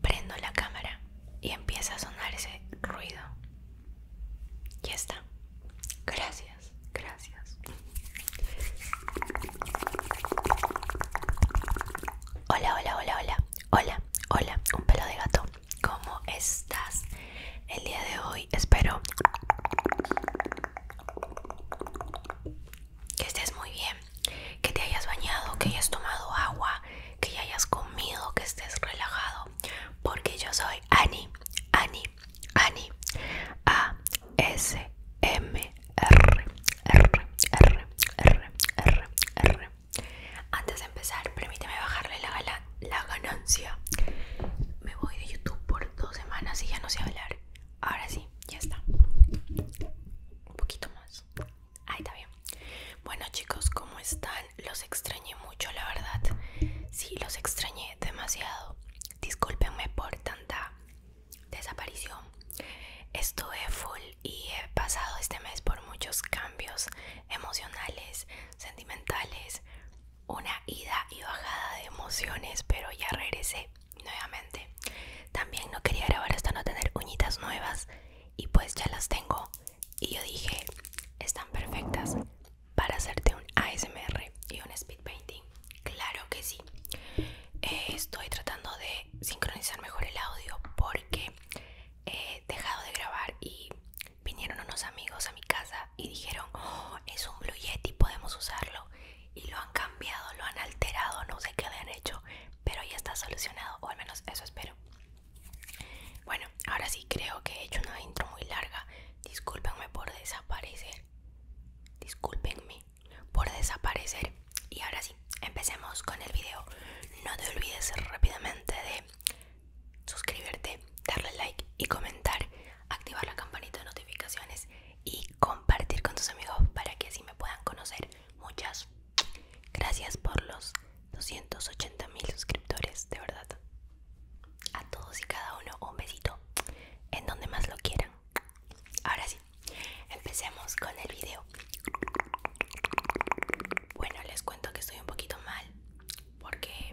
Prendo la cámara y empieza a sonar ese ruido. Ya está. Gracias, gracias. Hola, hola, hola, hola. Hola, hola, un pelo de gato. ¿Cómo estás? El día de hoy espero que estés muy bien, que te hayas bañado, que hayas tomado agua, que ya hayas comido, que estés relajado, porque yo soy Ani, Ani, Ani, A S M R R R R R Antes de empezar, permíteme bajarle la, la ganancia. Me voy de YouTube por dos semanas y ya no sé hablar. Ahora sí, ya está. Un poquito más. Ahí está bien. Bueno chicos, ¿cómo están? Los extrañé mucho, la verdad. Sí, los extrañé demasiado. Discúlpenme por tanta desaparición. Estuve full y he pasado este mes por muchos cambios emocionales, sentimentales, una ida y bajada de emociones, pero ya regresé nuevamente también no quería grabar hasta no tener uñitas nuevas y pues ya las tengo y yo dije están perfectas para hacerte un ASMR y un speed painting claro que sí eh, estoy tratando de sincronizar mejor el audio porque he dejado de grabar y vinieron unos amigos a mi casa y dijeron oh, es un blue yeti podemos usarlo y lo han cambiado, lo han alterado, no sé qué han hecho, pero ya está solucionado, o al menos eso espero. Bueno, ahora sí creo que he hecho una intro muy larga. Discúlpenme por desaparecer. Discúlpenme por desaparecer. Y ahora sí, empecemos con el video. No te olvides rápidamente de suscribirte, darle like y comentar activar la campanita de notificaciones y compartir con tus amigos para que así me puedan conocer. Muchas gracias por los 280 mil suscriptores, de verdad. A todos y cada uno un besito en donde más lo quieran. Ahora sí, empecemos con el video. Bueno, les cuento que estoy un poquito mal porque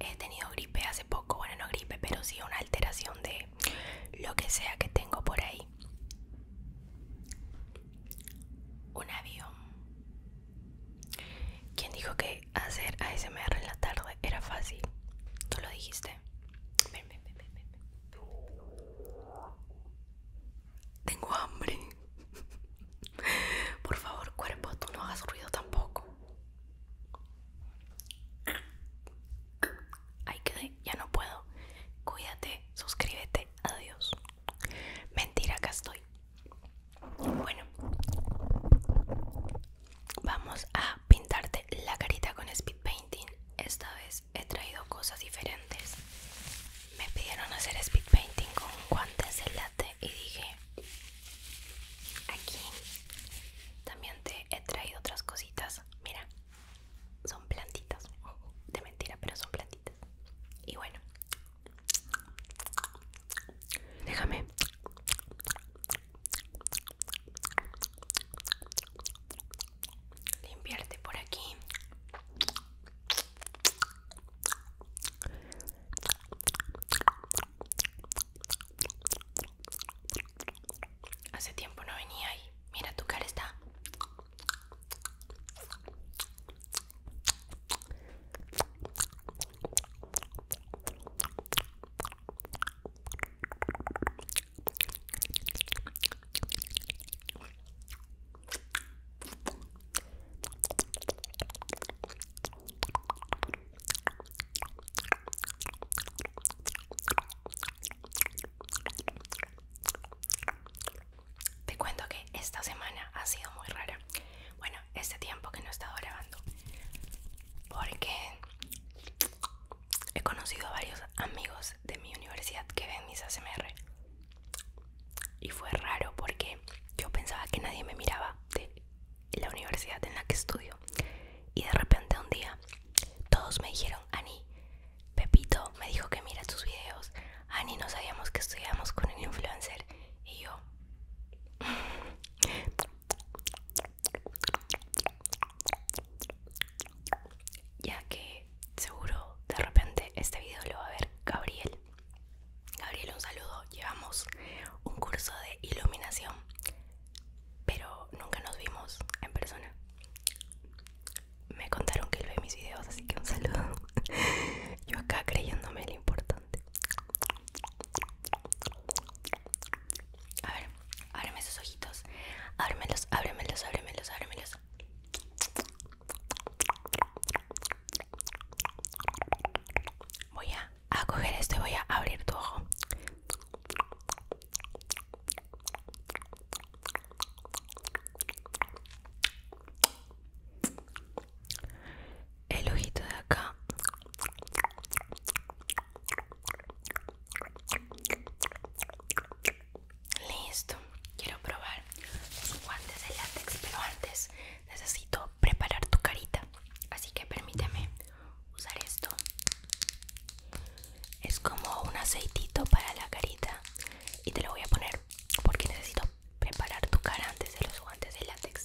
he tenido gripe hace poco, bueno no gripe, pero sí una alteración de lo que sea que tengo por ahí. Un avión. ¿Quién dijo que hacer ASMR en la tarde era fácil? Tú lo dijiste. Tengo hambre. Por favor, cuerpo, tú no hagas ruido tampoco ahí quedé, ya no puedo. Cuídate, suscríbete, adiós. Mentira, acá estoy. Bueno, vamos a pintarte la carita con speed painting. Esta vez he traído cosas diferentes. Me pidieron hacer speed painting con guantes de late y dije, aquí también te he traído otras cositas mira, son plantitas, de mentira, pero son plantitas. Y bueno, déjame. Limpiarte por aquí. Hace tiempo no venía ahí. Mira, tu cara está. Te cuento que esta semana ha sido muy rara. Bueno, este tiempo que no he estado grabando. Porque he conocido a varios amigos de mi universidad que ven mis ASMR. Y fue raro porque yo pensaba que nadie me miraba. De la universidad en la que estudio. Y de repente un día todos me dijeron, Ani, Pepito me dijo que mira tus videos. Ani, no sabíamos que estudiamos con el influencer. Y yo... Ya que seguro de repente este video lo va a ver Gabriel. Gabriel, un saludo. Llevamos un curso de iluminación pero nunca nos vimos en persona. Me contaron que él ve mis videos, así que un saludo. Yo acá creyéndome lo importante. A ver, ábreme esos ojitos. Ábremelos, ábremelos, ábremelos, ábremelos. Voy a a coger esto y voy a abrir tu ojo. El ojito de acá. Listo. Quiero probar los guantes de látex, pero antes necesito preparar tu carita. Así que permíteme usar esto es como un aceitito para la carita y te lo voy a poner porque necesito preparar tu cara antes de los guantes de látex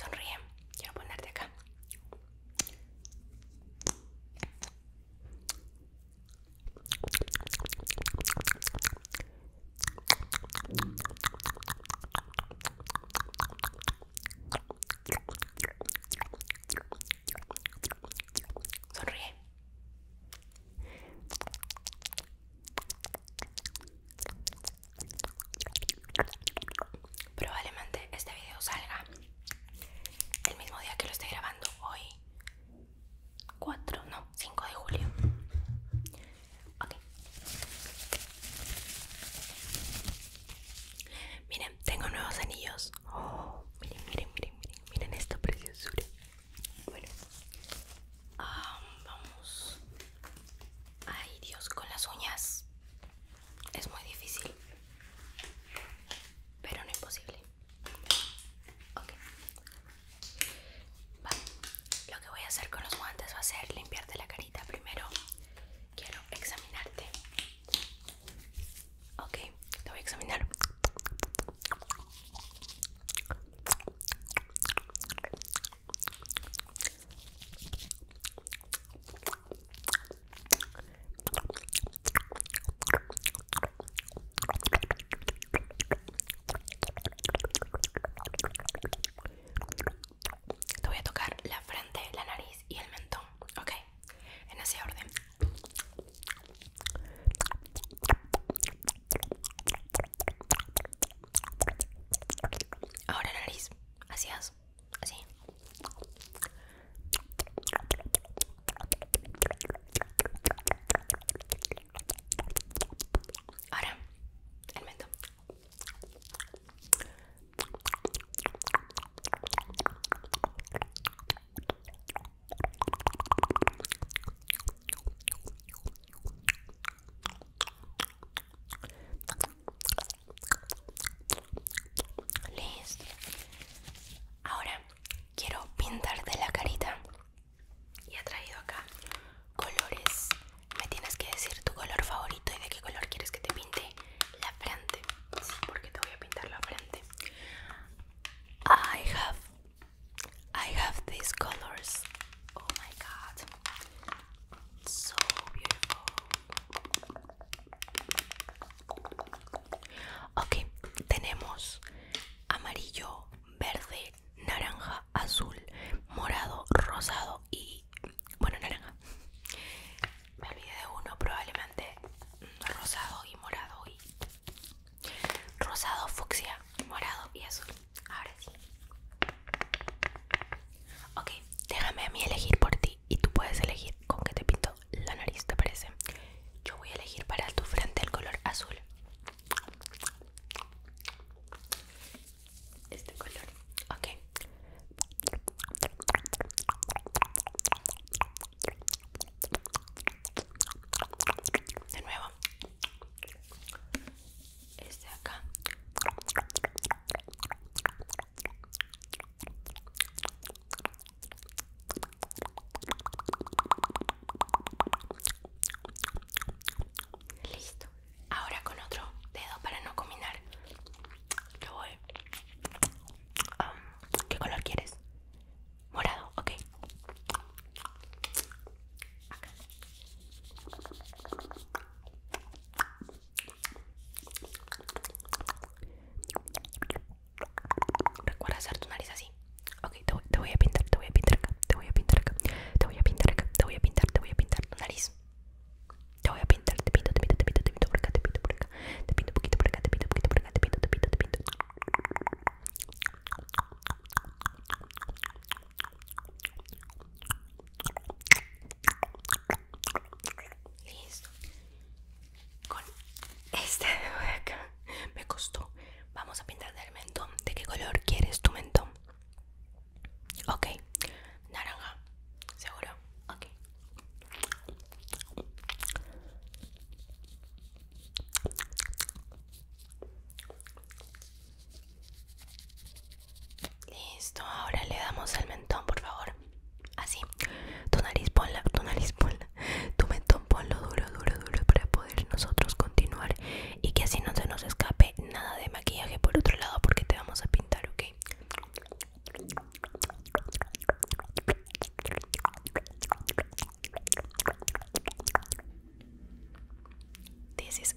Sonríe, quiero ponerte acá. Sonríe. Probablemente este video salga el mismo día que lo estoy grabando hoy. 4, no, 5 de julio. Ok. Miren, tengo nuevos anillos. Oh, miren, miren, miren, miren, miren esta preciosura. Bueno, vamos Ay Dios, con las uñas es muy difícil, pero no imposible. Ok. Vale. Lo que voy a hacer con los guantes va a ser limpiarte la carita. Primero quiero examinarte. Ok, te voy a examinar. Te voy a tocar la frente, la nariz y el mentón, ¿ok? En ese orden. Ahora nariz, así así. Ahora, el mentón. Listo. Ahora quiero pintarte la carita. Y he traído acá colores. Me tienes que decir tu color favorito y de qué color quieres que te pinte la frente. porque te voy a pintar la frente. I have I have these colors. Oh my god. So beautiful. Ok, tenemos amarillo, verde, naranja, azul, morado, rosado y bueno, naranja. Me olvidé de uno, probablemente mm, rosado y morado y rosado, fucsia, morado y azul. Ahora sí. Ok, déjame a mí elegir por ti y tú puedes elegir con qué te pinto la nariz, ¿te parece? Yo voy a elegir para tu frente el color azul. Este color, ok. De nuevo este acá listo ahora con otro dedo para no combinar lo voy ¿qué color quieres? morado okay acá Recuerda hacer tu nariz así. Okay, te, voy a pintar, te voy a pintar acá, te voy a pintar acá, te voy a pintar acá, te voy a pintar, te voy a pintar tu nariz. Te voy a pintar, te pinto, te pinto, te pinto, te pinto por te pinto por te pinto un poquito por acá, te pinto un poquito por acá, te pinto, te pinto, te pinto. Listo. Con este me costó. Vamos a pintar el mentón. ¿De qué color quieres tu mentón? Ok. Naranja. ¿Seguro? Ok. Listo, ahora le damos al mentón, por favor. Así. Tu nariz ponla, tu nariz ponla. Tu mentón ponlo duro, duro, duro para poder nosotros continuar y que así no se nos escape nada de maquillaje por otro lado porque te vamos a pintar, ¿ok? This is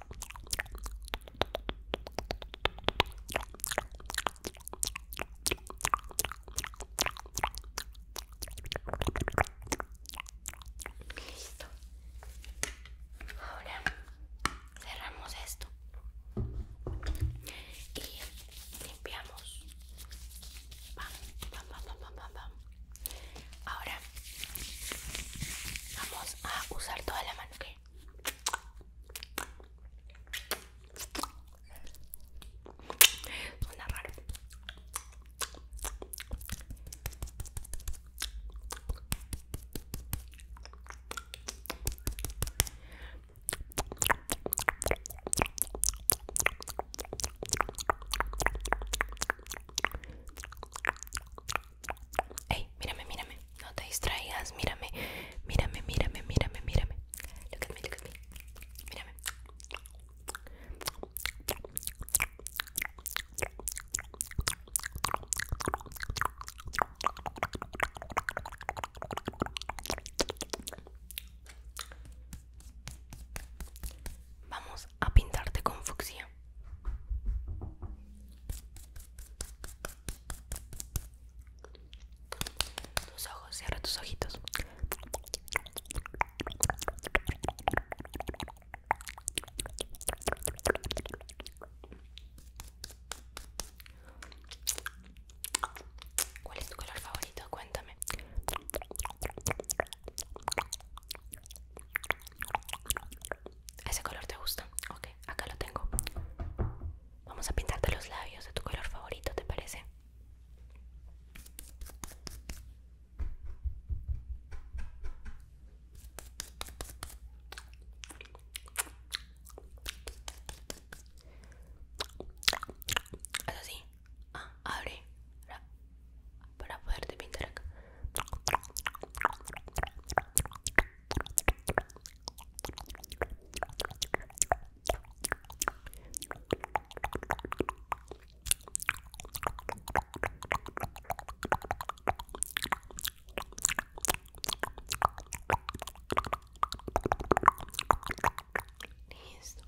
Listo. Ahora cerramos esto y limpiamos. Ahora vamos a usar toda la mano, que Suena raro. Ey, mírame, mírame. No te distraigas, mírame. Mírame, mírame, mírame, mírame. Mírame. Vamos a pintarte con fucsia. Tus ojos, cierra tus ojitos. ¿Cuál es tu color favorito? Cuéntame. ¿Ese color te gusta? Ok, acá lo tengo. Vamos a pintarte los labios de tu color favorito, ¿te parece? así? Ah, abre para poderte pintar acá. Listo.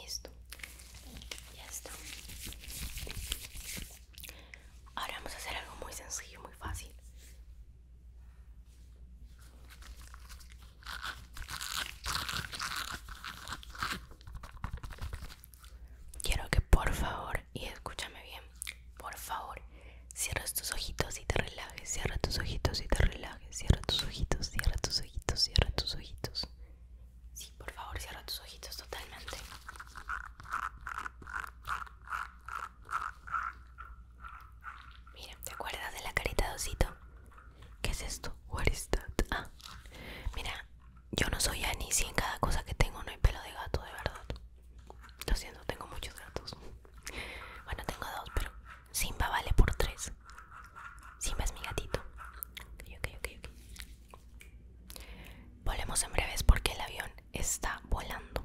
Listo, ya está. Ahora vamos a hacer algo muy sencillo, muy fácil. Quiero que por favor, y escúchame bien, por favor, cierres tus ojitos y te relajes, cierra tus ojitos y te relajes, cierra tus ojitos, cierra tus ojitos, cierra tus ojitos. Sí, por favor, cierra tus ojitos totalmente. Mira, ¿te acuerdas de la carita de osito? ¿Qué es esto? What is that? Ah, mira, yo no soy Annie sin en cada cosa que tengo no hay pelo de gato, de verdad. Lo siento, tengo muchos gatos. Bueno, tengo dos, pero Simba vale por tres. Simba es mi gatito. Ok, ok, ok Volemos en breves porque el avión está volando.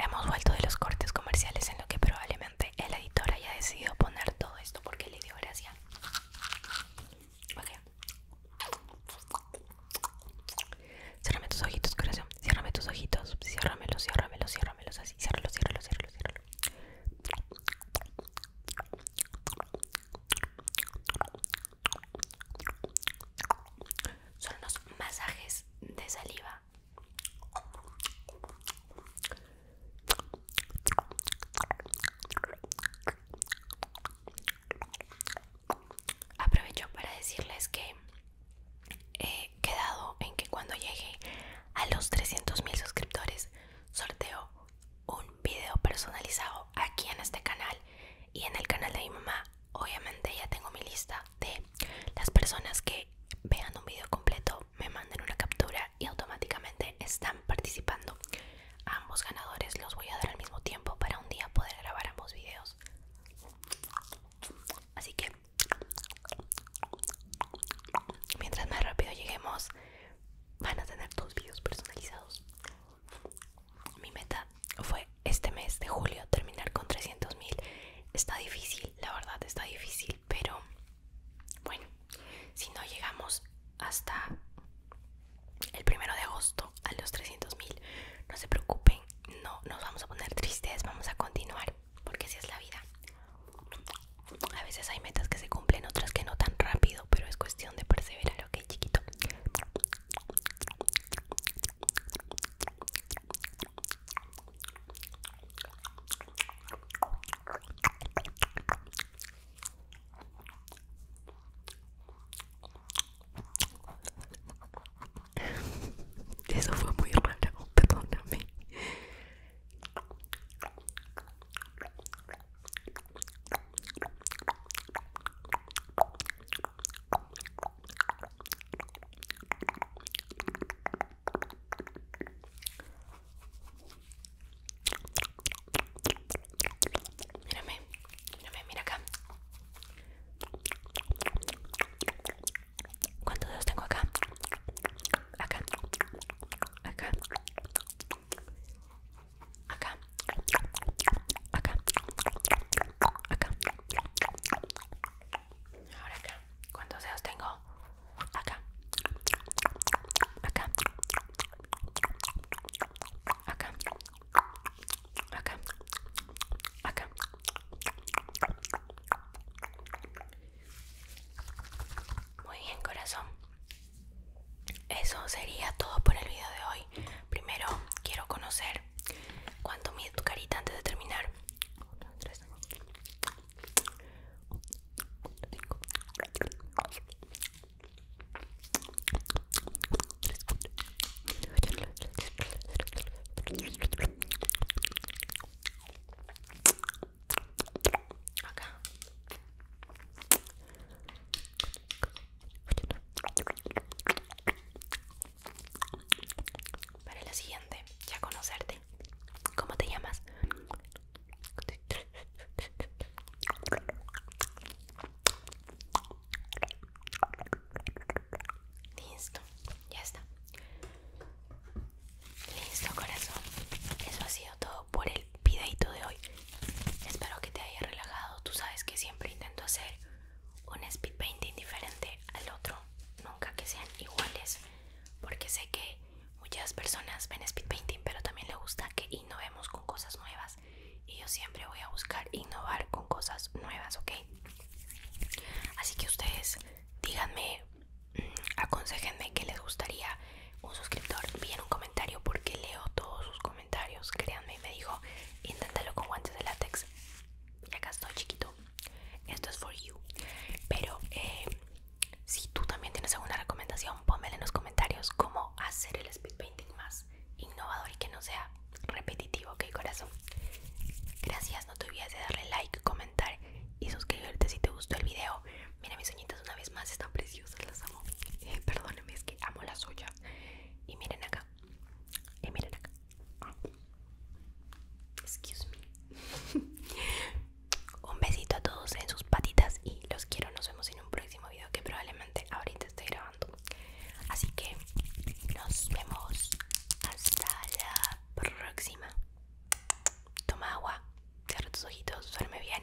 Hemos vuelto de los cortes comerciales en lo que probablemente el editor haya decidido poner todo esto porque le dio gracia. Ok. tus ojitos, corazón. Cierrame tus ojitos. Ciérramelos, ciérramelos, ciérramelos así. ciérralos, ciérralos, ciérralos. Son los masajes de saliva. Aprovecho para decirles que he quedado en que cuando llegue a los 300.000 suscriptores sorteo un video personalizado aquí en este canal y en el canal de mi mamá. Obviamente ya tengo mi lista de las personas que vean un video completo, me manden una captura y automáticamente están participando. ambos ganadores los voy a dar al mismo tiempo para un día poder grabar ambos videos. Así que mientras más rápido lleguemos, van a tener dos videos personalizados. Mi meta fue este mes de julio terminar con 300.000. mil. Está difícil, la verdad está difícil, pero bueno, si no llegamos hasta el primero de agosto a los 300 mil, no se preocupen, no nos vamos a poner tristes, vamos a continuar, porque así es la vida. A veces hay metas que se cumplen, otras que no tan rápido pero es cuestión de perseverar, ok, chiquito. Eso fue muy raro, perdóname. Mírame, mírame, mira acá. ¿Cuántos dedos tengo acá? Acá, acá acá, acá, acá, ahora acá, ¿cuántos tengo? Acá, acá, acá, acá, acá. Muy bien, corazón. Eso sería todo por el video de hoy. Primero quiero conocer cuánto mide tu carita antes de terminar. Para la siguiente, ya conocerte. ¿Cómo te llamas? Listo, ya está. Listo, corazón. Eso ha sido todo por el videito de hoy. Espero que te haya relajado. Tú sabes que siempre intento hacer un speed painting diferente al otro. Nunca que sean iguales. Porque sé que muchas personas ven speed painting, pero también le gusta que innovemos con cosas nuevas. Y yo siempre voy a buscar innovar con cosas nuevas, ¿ok? Así que ustedes díganme, mm, aconsejenme qué les gustaría un suscriptor vi en un comentario porque leo todos sus comentarios créanme Y me dijo inténtalo con guantes de látex y acá estoy chiquito esto es for you pero eh, si tú también tienes alguna recomendación ponmela en los comentarios cómo hacer el speed painting más innovador y que no sea repetitivo ok corazón gracias no te olvides de darle like comentar y suscribirte si te gustó el video Mira mis uñitas una vez más, están preciosas, las amo. Eh, es que amo la suya. Y miren acá. Y eh, miren acá. Ah. Excuse me. un besito a todos en sus patitas y los quiero. Nos vemos en un próximo video que probablemente ahorita estoy grabando. Así que nos vemos hasta la próxima. Toma agua, cierra tus ojitos, duerme bien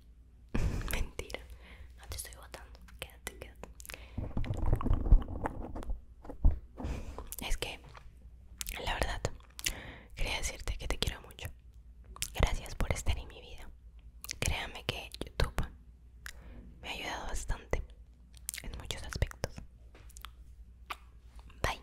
Mentira, no te estoy votando. Quédate, quédate. Es que, la verdad, quería decirte que te quiero mucho. Gracias por estar en mi vida. Créame que YouTube me ha ayudado bastante en muchos aspectos. Bye.